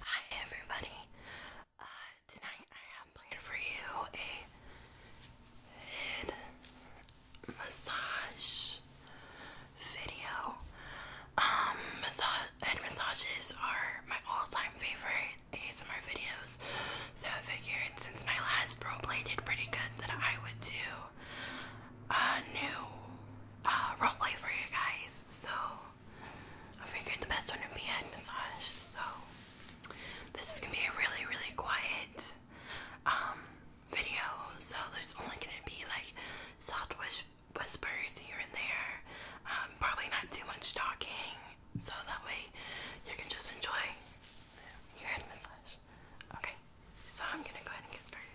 Hi everybody. Uh, tonight I have planned for you a head massage video. Um, head massages are my all-time favorite ASMR videos. So I figured since my last roleplay did pretty good that I would do a new uh, roleplay for you guys. So I figured the best one would be head massage, so this is gonna be a really, really quiet um, video. So there's only gonna be like soft whispers here and there. Um, probably not too much talking, so that way you can just enjoy your head massage. Okay, so I'm gonna go ahead and get started.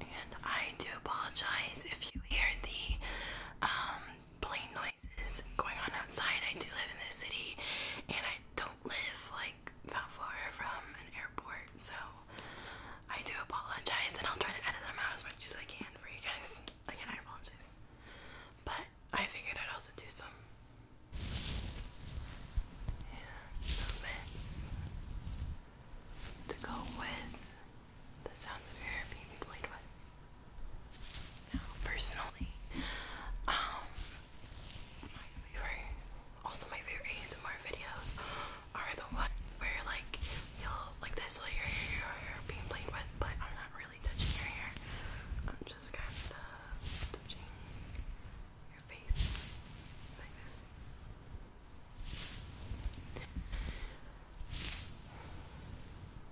And I do apologize if you hear the um, plane noises going on outside. I do live in the city and I don't live like that far from an airport, so I do apologize and I'll try to edit them out as much as I can for you guys. Again, I apologize. But I figured I'd also do some yeah, to go with the sounds of your hair being played with. Now, personally, um, my favorite, also my favorite ASMR videos are the ones where like you'll like this like your hair, your hair being played with, but I'm not really touching your hair. I'm just kind of touching your face like this.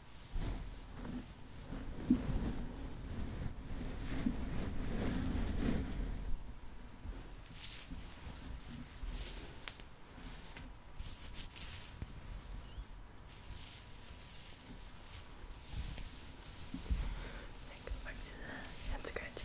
go back to the head scratching.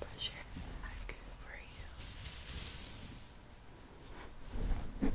Pressure back for you. Good.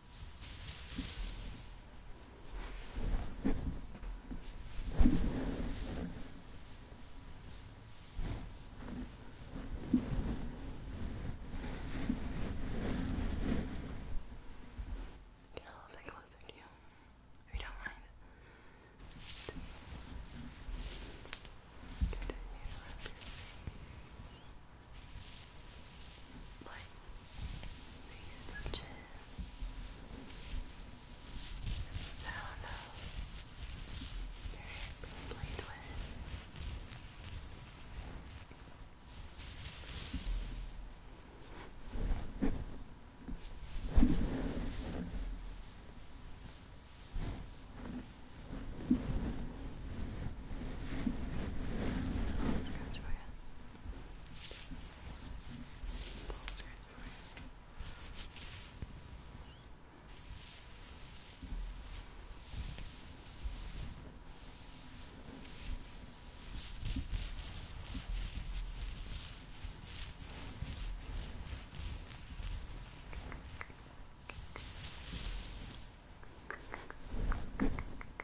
Get a little bit closer to you. If you don't mind. Just continue. Like these touches the sound of your hair played with I'll scratch for you. Balls are everywhere. Okay.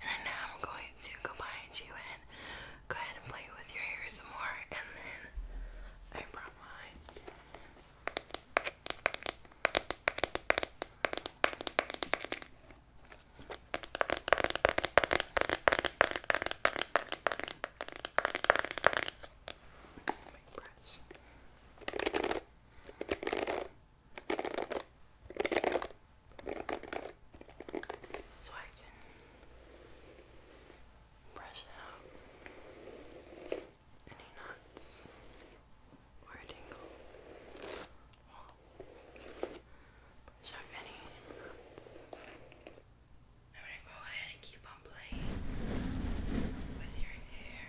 And then I'm going to go behind you and go ahead and play with your hair some more. And then I brought mine. My brush so I can brush out any knots or tingle. Brush any I'm gonna go ahead and keep on playing with your hair.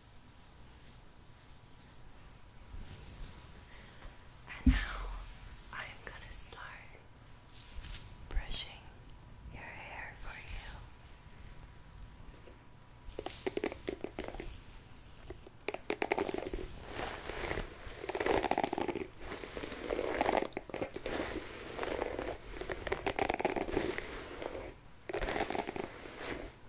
And now I'm gonna start brushing your hair for you.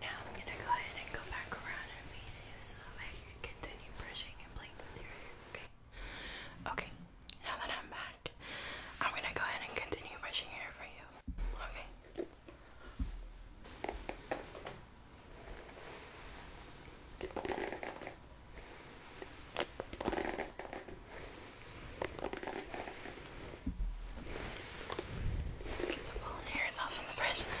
Now I'm going to go ahead and go back around and face you so continue brushing and playing with your hair, okay? Okay, now that I'm back, I'm going to go ahead and continue brushing hair for you, Okay. Get some fallen hairs off of the brush. Okay.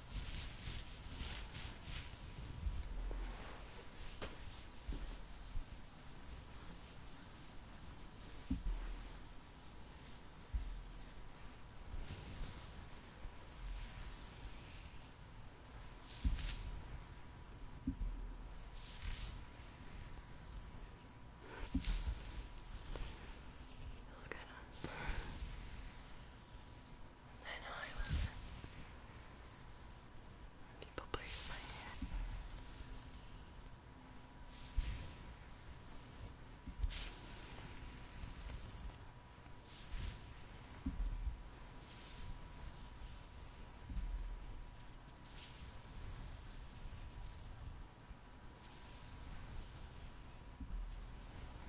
Feels good, I know I was. People breathe my hair.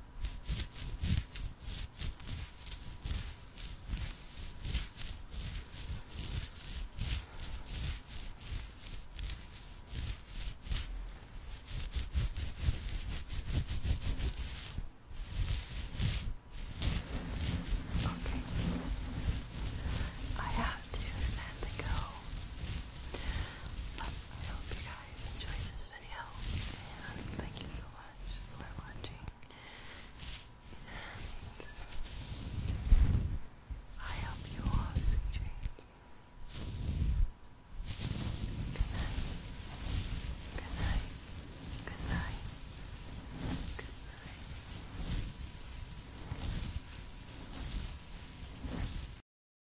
Okay. I have to go. But I hope you guys enjoyed this this video and thank you so much for watching and I hope you all have sweet dreams. Good night. Good night. Good night. Good night.